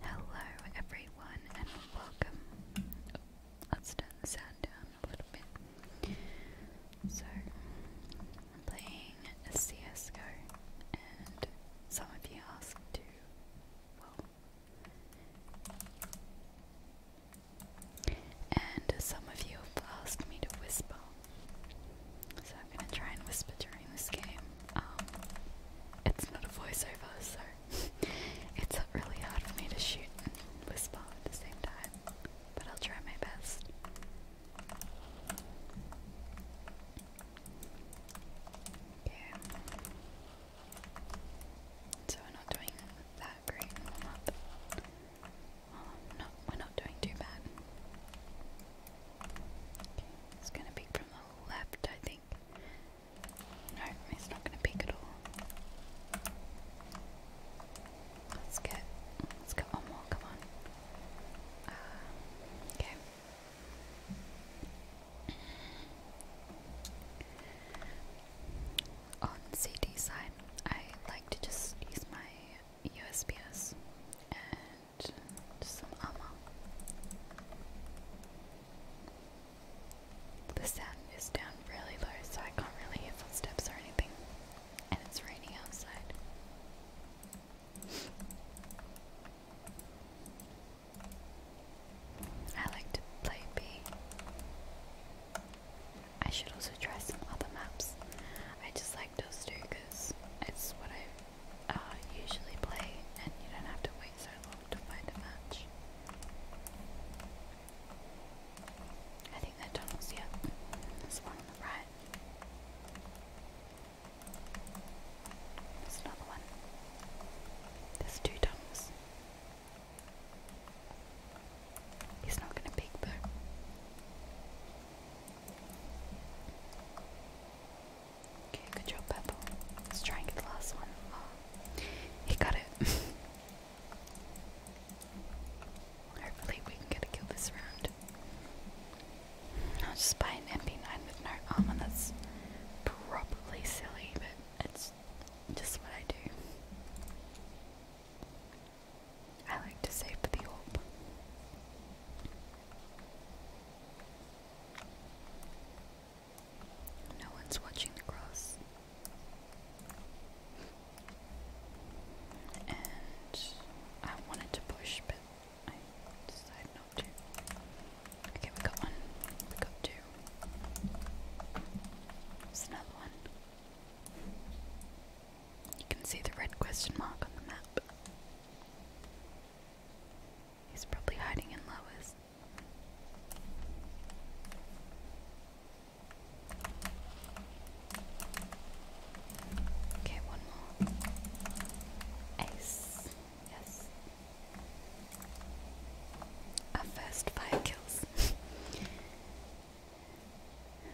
Hello, everyone, and welcome. let's turn the sound down a little bit. So, I'm playing a CSGO, and some of you asked to, well, and some of you have asked me to whisper. So, I'm going to try and whisper this game. Um, it's not a voiceover, so it's really hard for me to shoot and whisper at the same time, but I'll try my best. Okay. So we're not doing that great in we're not doing too bad. it's gonna be from the left, I think. No, it's not going to pick at all. Let's get, let's get one more. Come on. Uh, okay. On CD side, I like to just use my USPS some armor. The sound is down really low, so I can't really hear footsteps or anything. And it's raining outside. I like to play B. I should also try some other maps. I just like those two because it's what I uh, usually play, and you don't have to wait so long to find a match. I think they tunnels, yeah. There's one on the right. There's another one. There's two tunnels. He's not going to peek though. Okay, good job, Peppo. Let's try and get the last one. Oh, he got it. Hopefully, we can get a kill this round. I'll just buy an MP9 with no armor. That's probably silly, but it's just what I do. I like to save for the orb. No one's watching the cross. And I wanted to push, but I decided not to. Okay, we got one. We got two. There's another one. You can see the red question mark on the map. He's probably hiding in lowers. Okay, one more. Ace. Yes. Our first five kills. um,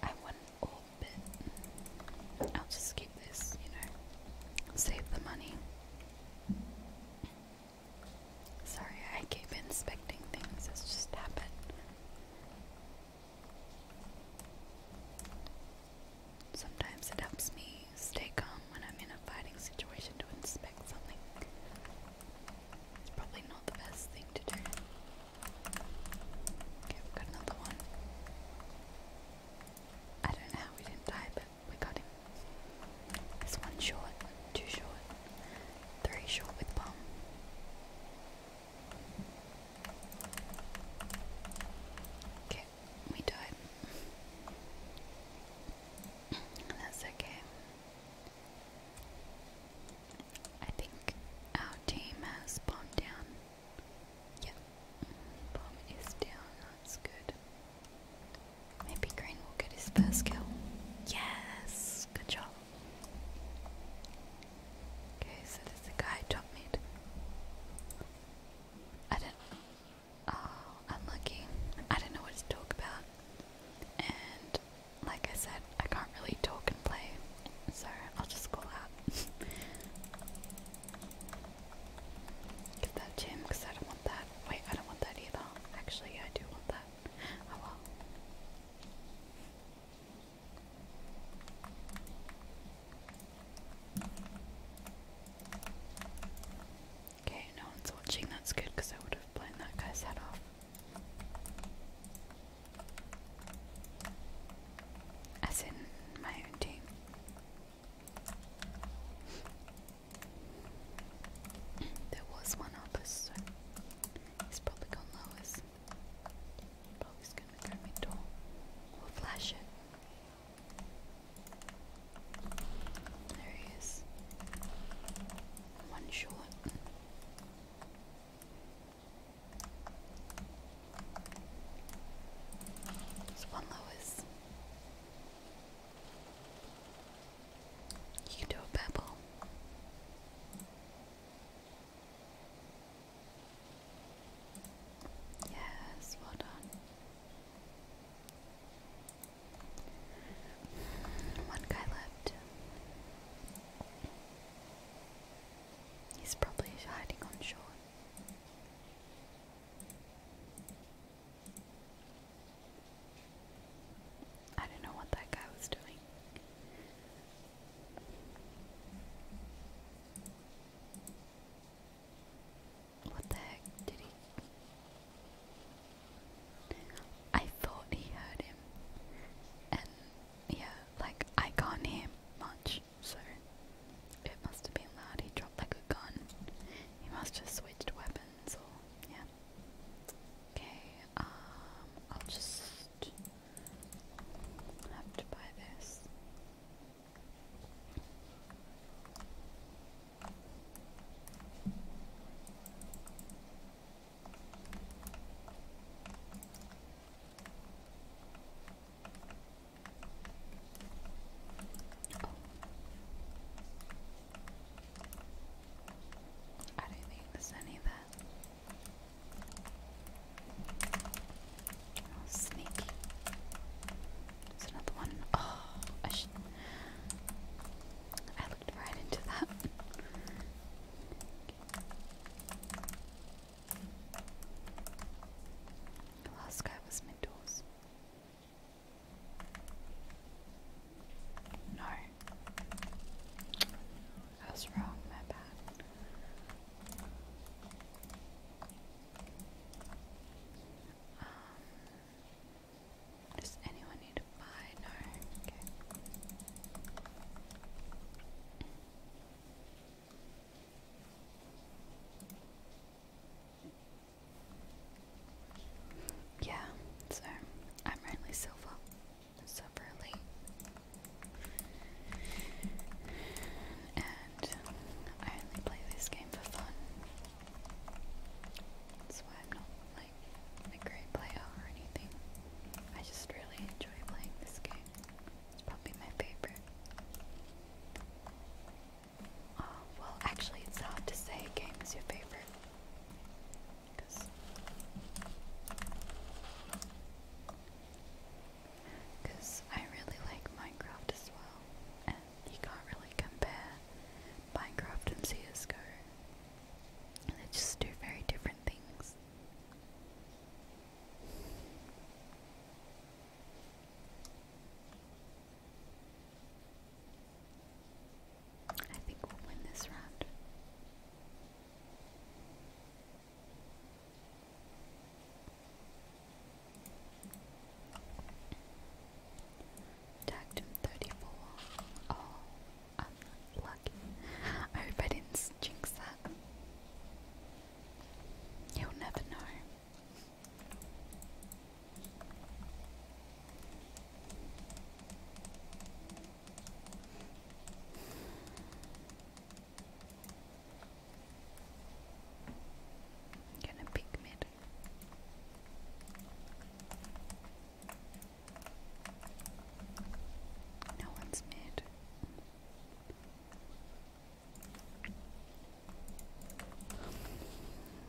I want orbit. I'll just keep this, you know, save the money. Sorry, I keep inspecting things, it's just habit. Sometimes it helps me stay calm when I'm in a fighting situation to inspect something. It's probably not the best thing to do. Okay, we've got another one. I don't know we didn't die, but we got him. It's one short, two short, three short with bomb. Okay, we died. That's okay. I think our team has bombed down. Yep, bomb is down. That's good. Maybe Green will get his first kill. Yes! Good job. Okay, so there's the guy top mid. I don't. Oh, unlucky. I don't know what to talk about. And, like I said, I can't really talk and play, so I'll just call out. Get that gem because I don't want that. Wait, I don't want that either. Actually, I do want that. Oh well. Okay, no one's watching. That's good because I would have blown that guy's head off. As in my own team. There was one officer. He's probably gone lowest. Probably gonna turn me door. We'll flash it. There he is. One short. It's one lowest. You can do a pebble. Yes, well done. One guy left. He's probably hiding on shore. I don't know what that guy was doing. What the heck did he? I thought he heard him, and yeah, like I can't hear much, so it must have been loud. He dropped like a gun. He must have switched weapons yeah. Okay, um I'll just have to buy this. Oh. I don't think there's any there. Oh, sneaky. There's another one. Oh, I should. I looked right into that. The last guy was Middoors. No. I was wrong, my bad. Um, does anyone need to buy? No. Okay. Yeah, so I'm only silver, separately. And I only play this game for fun. That's why I'm not like a great player or anything. I just really enjoy playing this game. It's probably my favorite. Uh, well, actually, it's hard to say a game is your favorite. Cause, I really like Minecraft as well, and you can't really compare Minecraft and CS:GO. they just two very different things. I think we'll win this round. Tagged 34. Oh, i I hope I that. He'll never know. I'm gonna pick mid. No one's mid.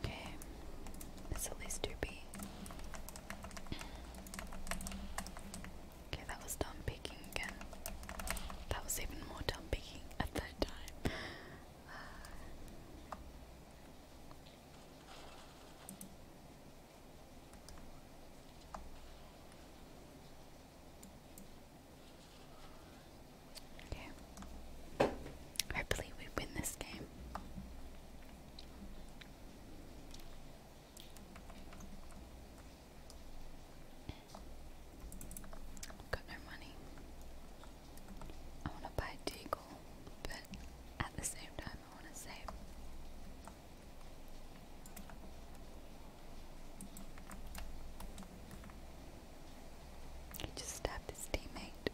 Okay, it's at Okay, that was dumb picking again. That was even more dumb picking at that time. Okay. Hopefully we win this game. got no money. I want to buy a but at the same time I want to save. He just stabbed his teammate.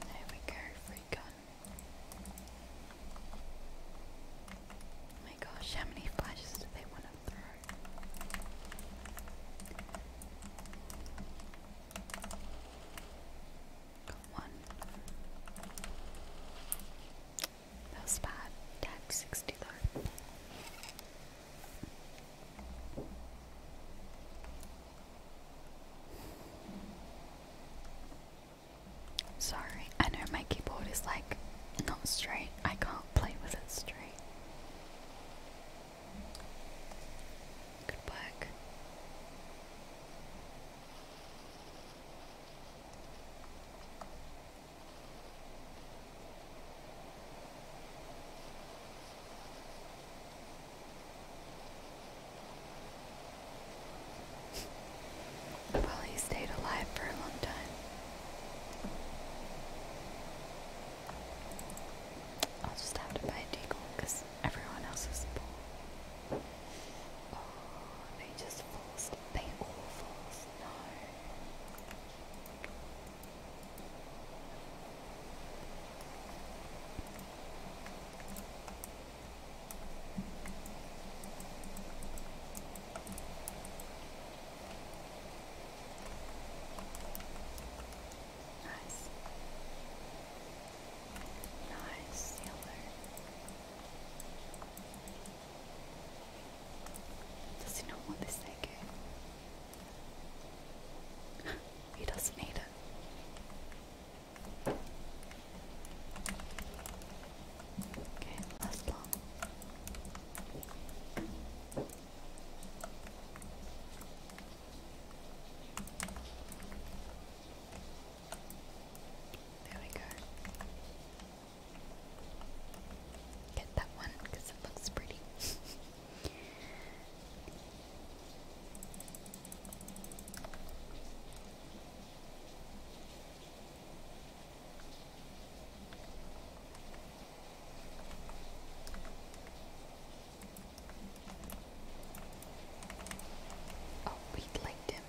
There we go, free gun. Oh my gosh, how many flashes do they want to throw? one. That was Tag 60 Sorry, I know my keyboard is like not straight. I can't play with it straight. Good work. Well, he stayed alive for a long time. I'll just have to buy a deagle because everyone else is full. Oh, they just fall They all fall No. Nice. Nice, the Does he not want this AK? he doesn't need it. Okay, last long. There we go. Get that one because it looks pretty. Oh, we liked him.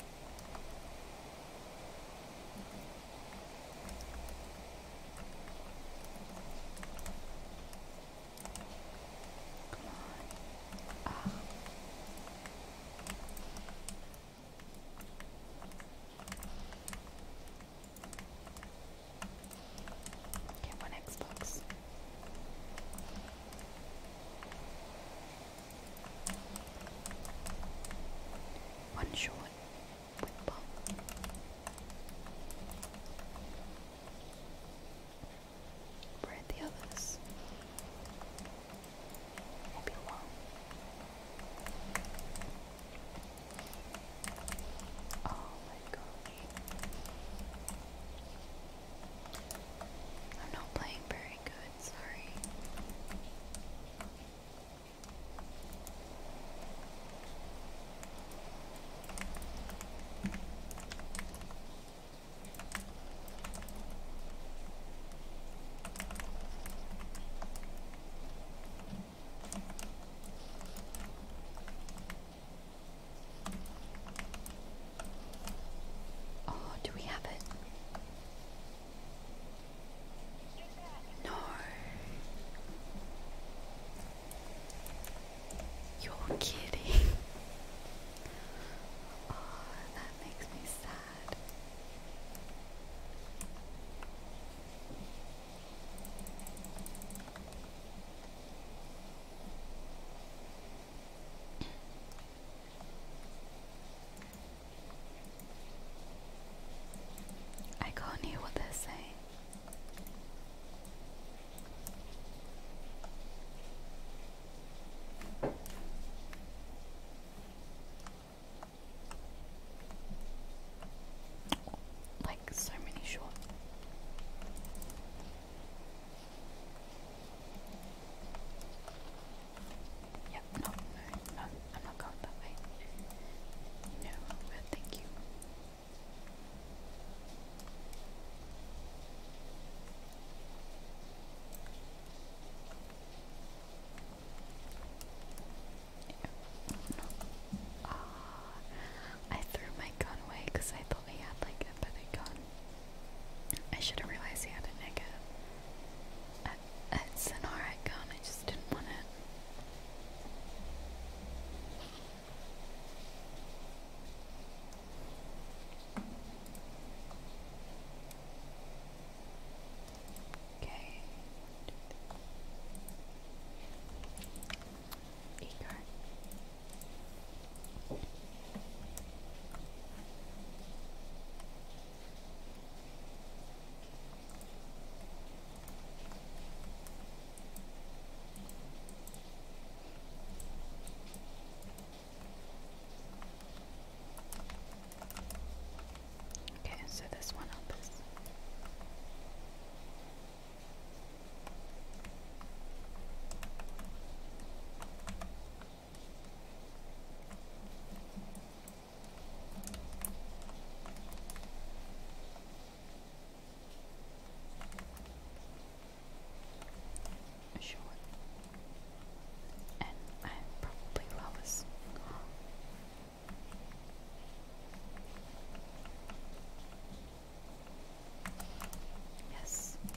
Okay, one Xbox. One short, with bomb. Where the others? Maybe one. Oh my gosh. I'm not playing very very good, sorry. Oh, do we have it? No. You're kidding. Oh, that makes me sad. I can't hear what they're saying. Like so many short. Yep, no, no, I'm not going that way. No, but thank you. Ah, no. uh, I threw my gun away because I thought I had like a better gun. I should have realized he had a negative. I, it's I just didn't want it. Okay. E Okay, so this one up is Sure. And I probably flowers. Yes,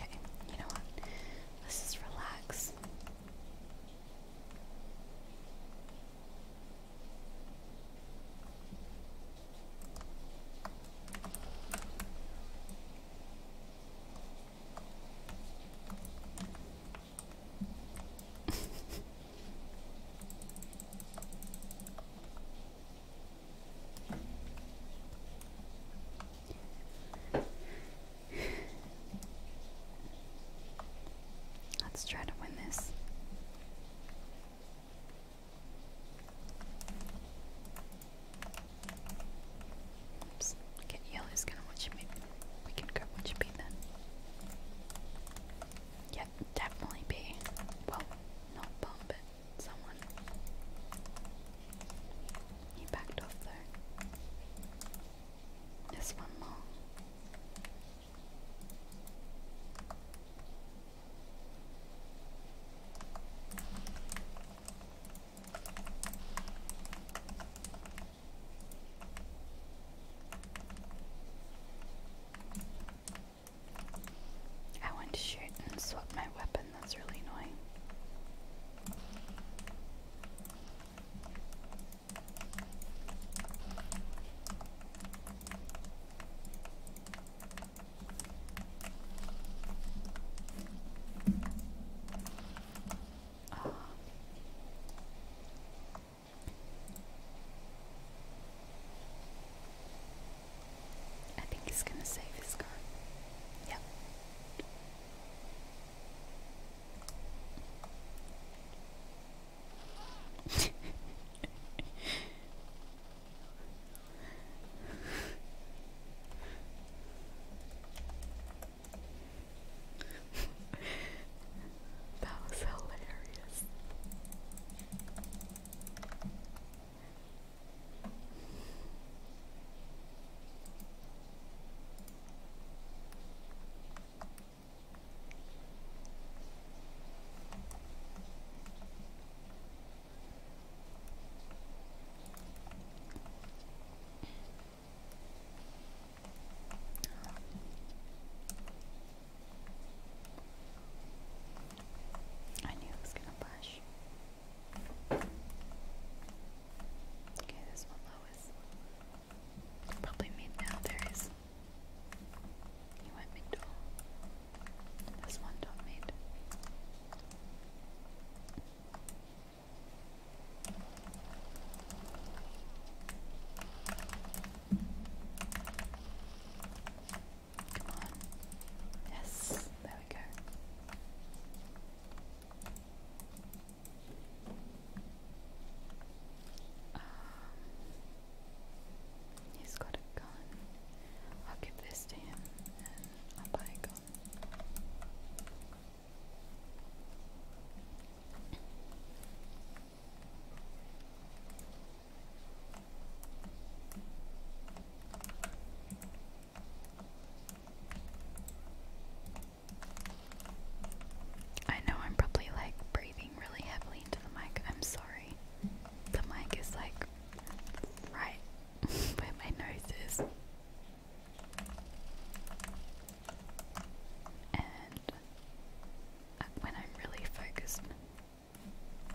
Okay, you know what? Let's just relax. Let's try to win this. Oops. Okay, yellow's gonna watch me. We can go watch B then. Yep, definitely B. Well, not bomb, but someone. He backed off though. There's one more. I want to shoot and swap my weapon, that's really annoying. I think he's gonna save his car. Yep. that was hilarious. I knew it was gonna blush. Okay, this one Lois. Probably made now there is. You went mid This one don't Come on. Yes, there we go. Um, he's got a gun. I'll give this to him and I'll buy a I know I'm probably like breathing really heavily into the mic. I'm sorry. The mic is like right where my nose is and uh, when I'm really focused,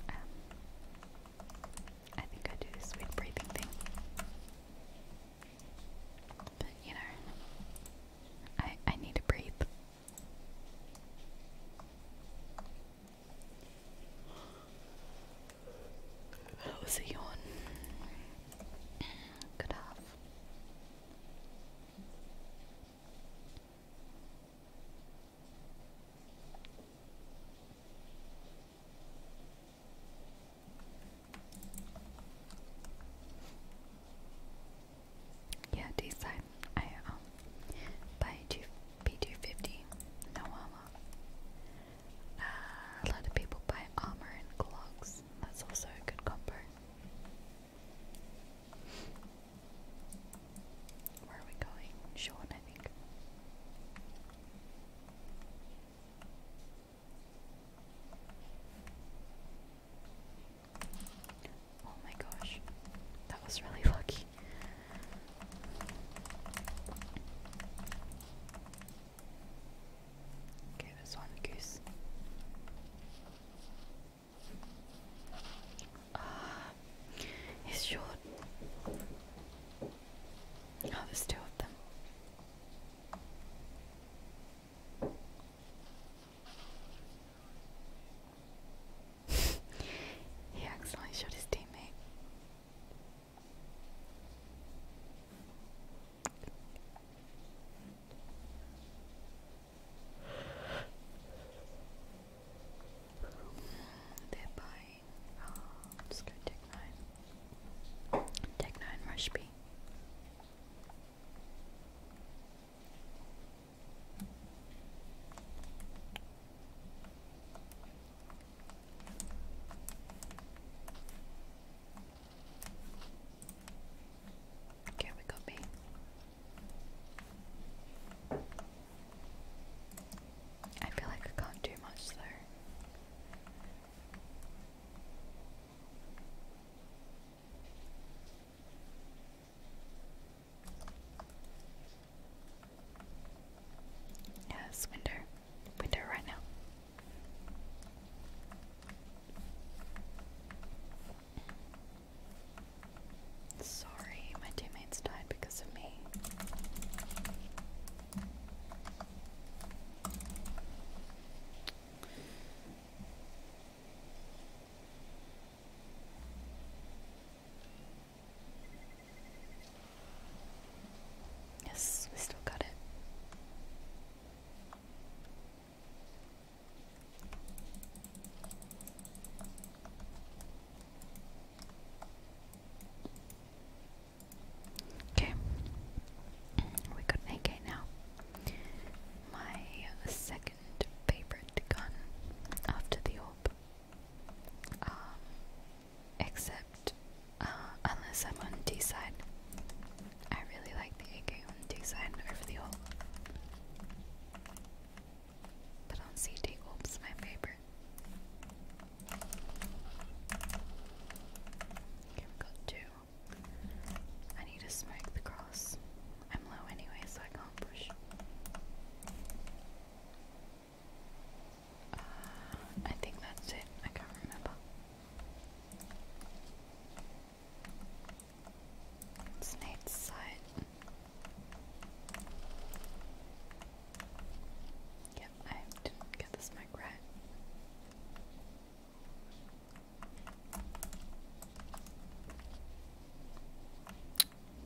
um, I think I do this weird breathing thing. But you know, I I need to breathe. That was a could have. Yeah, this I um buy two P two fifty no armor. Uh, a lot of people buy armor and clogs. That's also a good combo. Where are we going? Sean, I think. Oh my gosh, that was really lucky. Okay, this one goose. he's ah, short. Oh, there's two of them. he accidentally shot his teammate. They're let's go Tech Nine. Oh, Tech Nine Rush Okay, we got me. I feel like I can't do much though. Yes, window. We're there right now. Sorry, my teammates died because of me. Yes, we still got it. Okay, we got AK now. My second favorite gun after the orb. Um, except uh, unless I'm on D side. I really like the AK on D side over the ult. But on CT, ult's my favorite. Okay, we got two. I need to smoke the cross. I'm low anyway, so I can't push. Uh, I think that's it. I can't remember. It's Nate's site. I didn't get this mic right.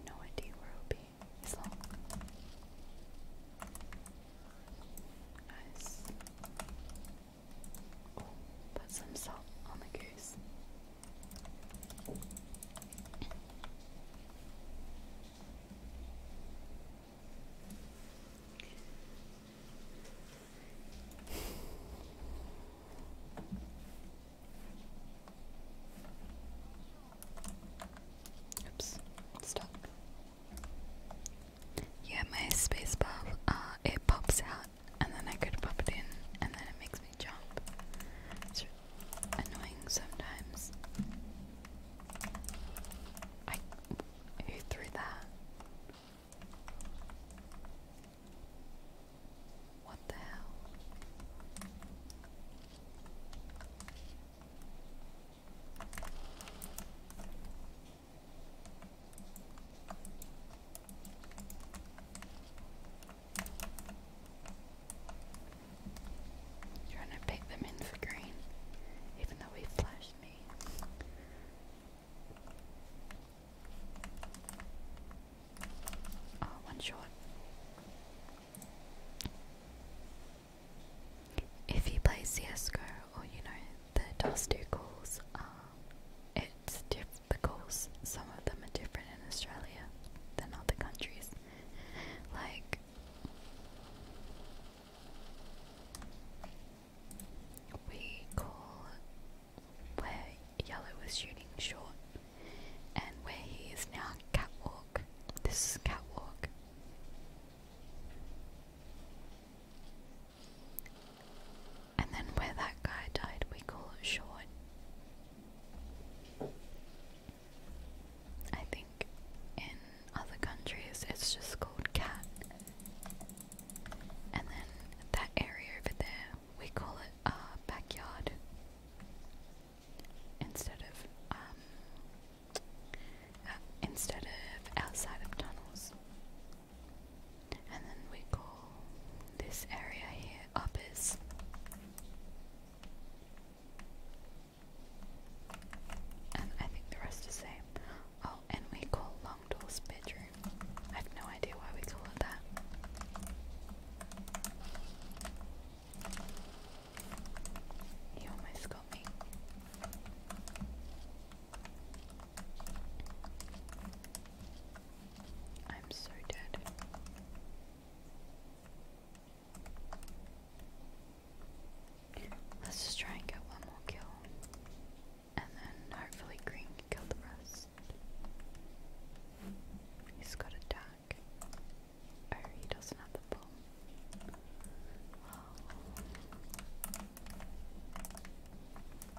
No idea where it'll be. Nice. Put some salt on the goose. Oops, it's yeah, my space bar, uh, it pops out, and then I could pop it in, and then it makes me jump. It's annoying sometimes. who threw that? What the hell? Trying to pick them in green, even though he flashed me. Oh, one shot. If you play CSGO or you know the DOS2 calls, um, it's diff the goals. Some of them are different in Australia than other countries. Like we call where Yellow was shooting short, and where he is now catwalk. This catwalk. And then where that guy died, we call it short. I think in other countries it's just called cat. And then that area over there, we call it backyard instead of um, uh, instead of outside of tunnels. And then we call this area here uppers. And I think the rest is same. Oh, and we call Longdoor's bedroom. I have no idea why we call it that. He almost got me. I'm so dead. Let's just try and get one more kill. And then hopefully Green can kill the rest. He's got a duck. Oh, he doesn't have the bomb.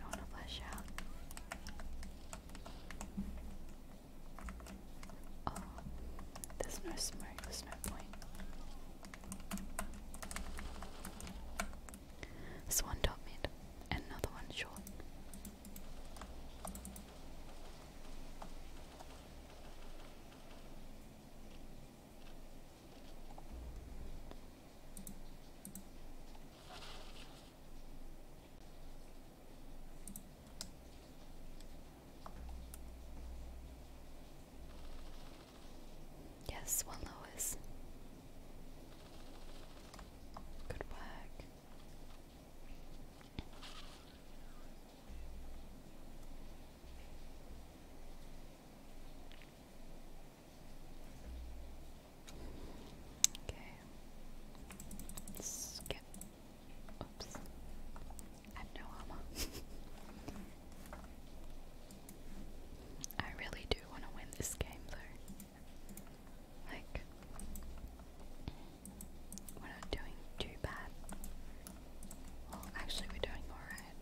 I want to flush out. Oh, there's no smoke, there's no point. This one top mid, and another one short. Yes, one lowers. Good work. Okay. Skip. Oops. I have no armor. I really do want to win this game though. Like, we're not doing too bad. Well, actually, we're doing alright.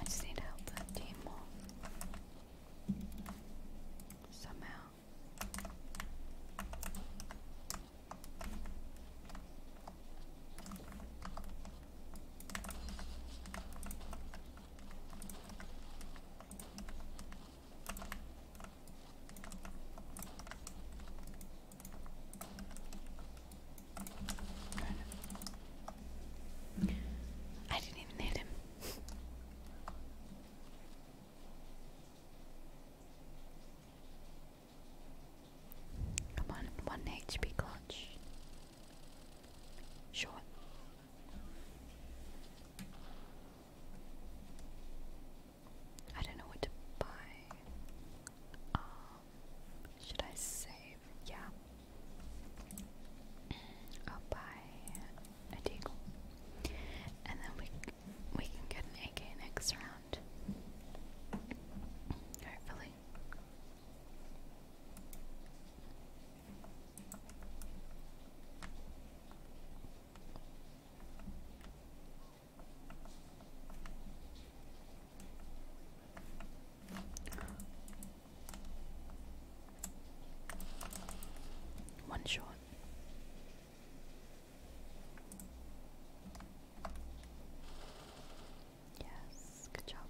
I just need to help that team more. Somehow. I didn't even hit him. Come on, one HP clutch. Sure. I don't know what to buy. Um, should I save? Yeah. I'll buy a deagle. And then we we can get an AK next round. Hopefully. One shot. Yes, good job.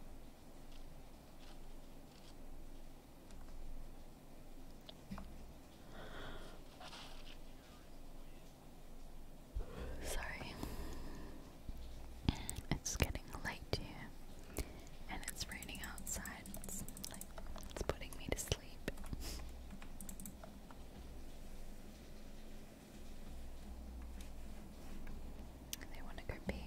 Sorry. It's getting late and it's raining outside. it's putting me to sleep. They want to go pee.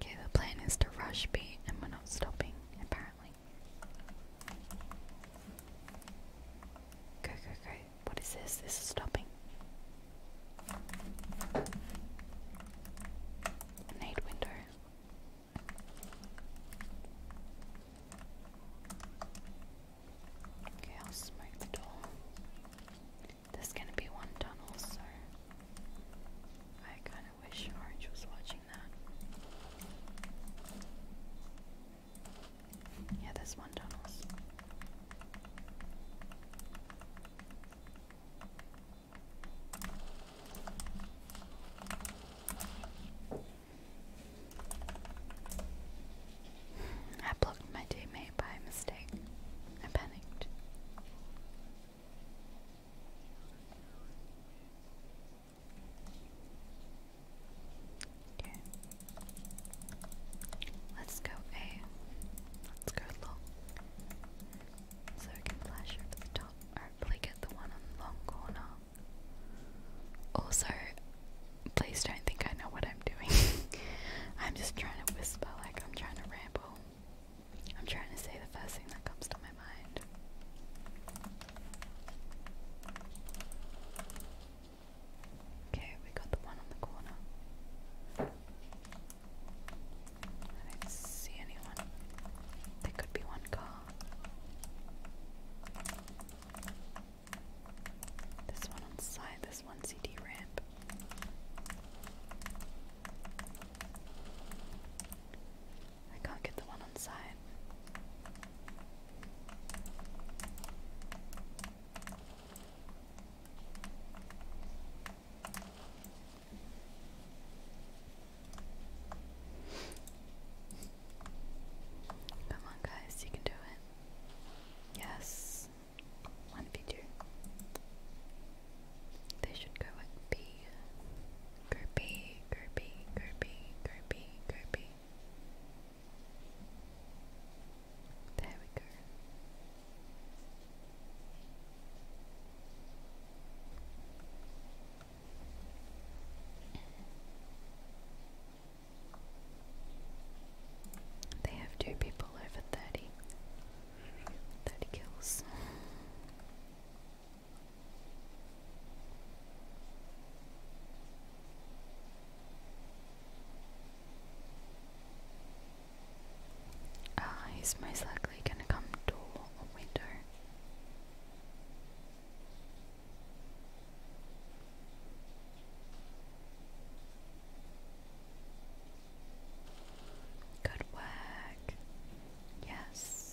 Okay, the plan is to rush B and we're not stopping, apparently. Go, go, go. What is this? This is stopping. I window. Okay, I'll smoke the door. There's gonna be one tunnel, so I kinda wish Orange was watching that. Yeah, there's one done I blocked my teammate by mistake. I panicked. Let's go A. Let's go long. So I can flash over the top. Hopefully get the one on the long corner. Also, please don't think I know what I'm doing. I'm just trying to whisper like I'm trying to ramble. I'm trying to say the first thing that comes to my mind. Okay, we got the one on the corner. I didn't see anyone. There could be one car. This one on side, this one CD ramp. I can't get the one on side. Come on, guys, you can do it. Yes, one 2 They should go at B. Go B, go B, go B, go B, go B. There we go. They have two people over 30. 30 kills. Ah, he's most likely going to come door or window. Good work. Yes.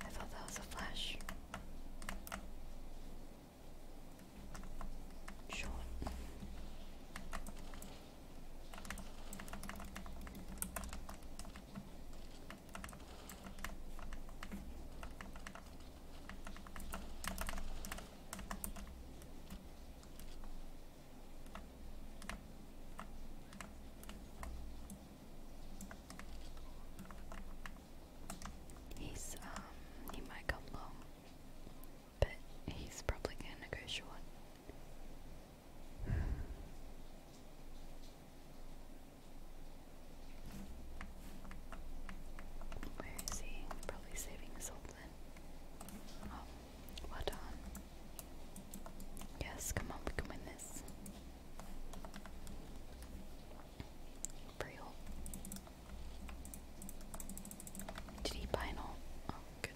I thought that was a flash. Short. He's um he might come long, but he's probably gonna go short. Where is he? Probably saving Sultan. Oh, well done. Yes, come on, we can win this. Real. Did he buy an all? Oh, good.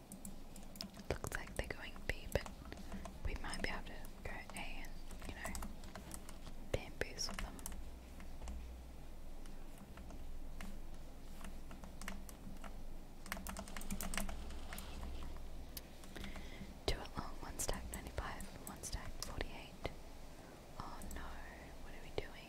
It looks like they're going B, we might be able to go A and, you know, bamboozle them. Do it long, one stack 95, one stack 48. Oh no, what are we doing?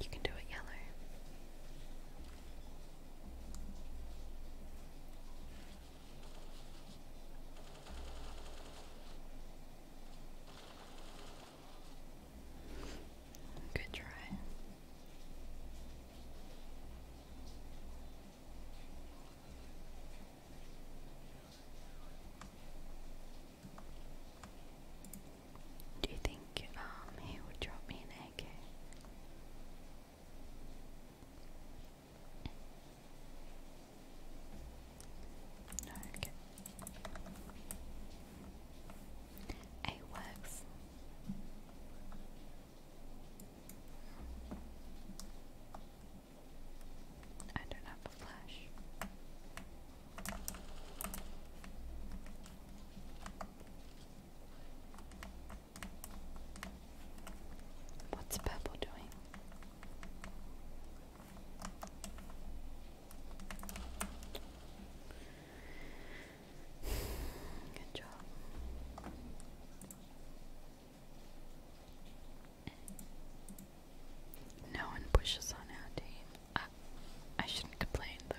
You can do it yellow. Good try. Do you think um he would drop me an AK? okay. It works. I don't have a flash. What's purple doing? Good job. No one pushes on our team. I, shouldn't complain though.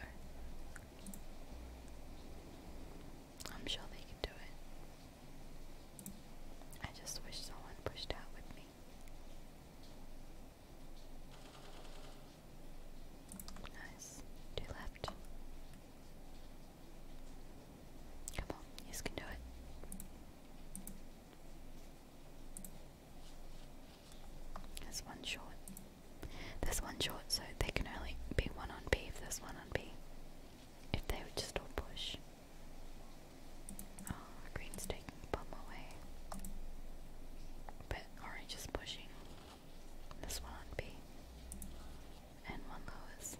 I'm sure they can do it. I just wish someone pushed out with me. Nice. Two left. Come on, you can do it. There's one short. There's one short, so they can only be one on B if there's one on B. If they would just all push. Oh, green's taking bomb away. But orange is pushing. This one on B. And one lowers.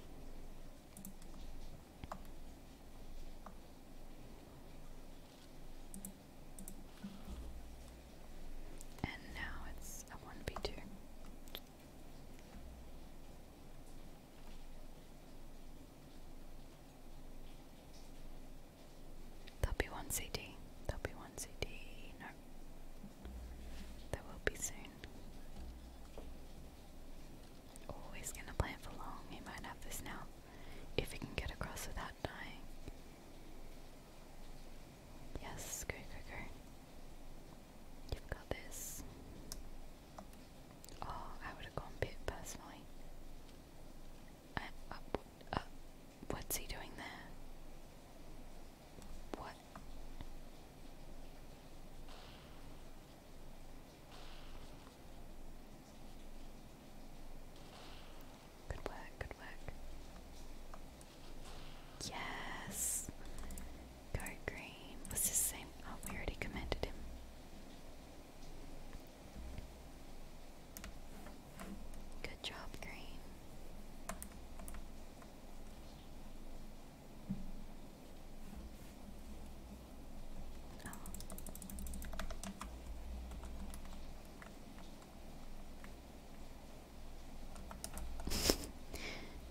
And now it's a 1b2. There'll be one CD. There'll be one CD. No. There will be soon. Oh, gonna play it for long. He might have this now. If he can get across without dying. Yes, go, go, go. You've got this. Oh, I would have gone personally. Uh, uh, what's he doing there? What? Good work, good work. Yes! Go green. Was this same? Oh, we already commanded him. Good job, green. Oh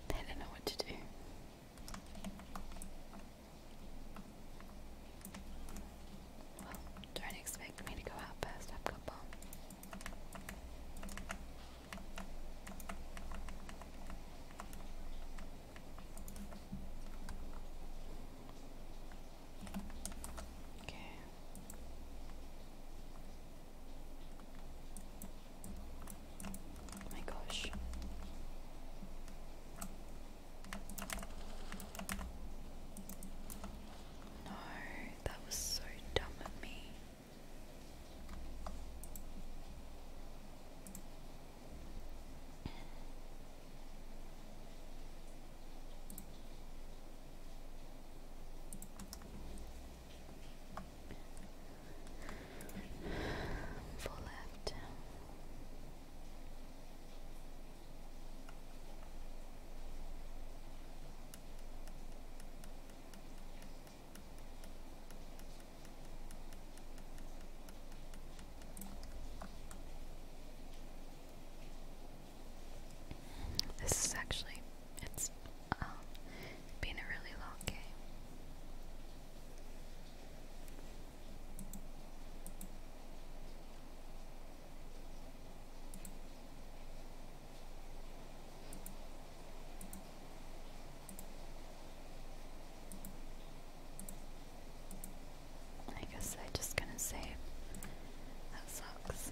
they don't know what to do. don't expect me to go out first. I've Okay. Oh my gosh. No, that was so dumb of me. Four left. This is actually it's um, been a really long game. I guess I just gonna save. That sucks.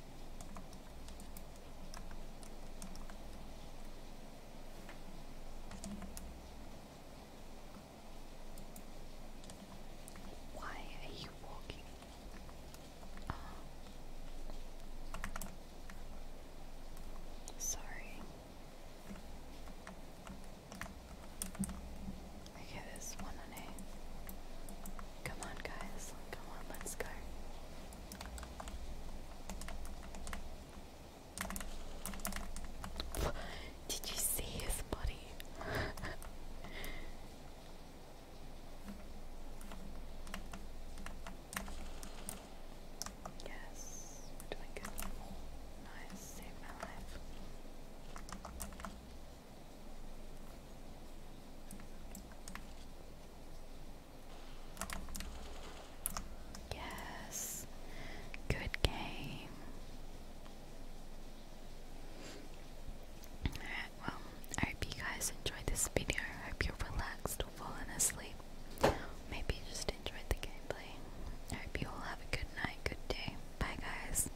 Why are you walking? Um, sorry. Okay, this one on eight. Come on, guys. Come on, let's go. Did you see his body? yes, we're Nice, saved my Yes, good game. Alright, well, I hope you guys enjoyed this video. I hope you're relaxed or fallen asleep. Maybe you just enjoyed the gameplay. I hope you all have a good night, good day. Bye, guys.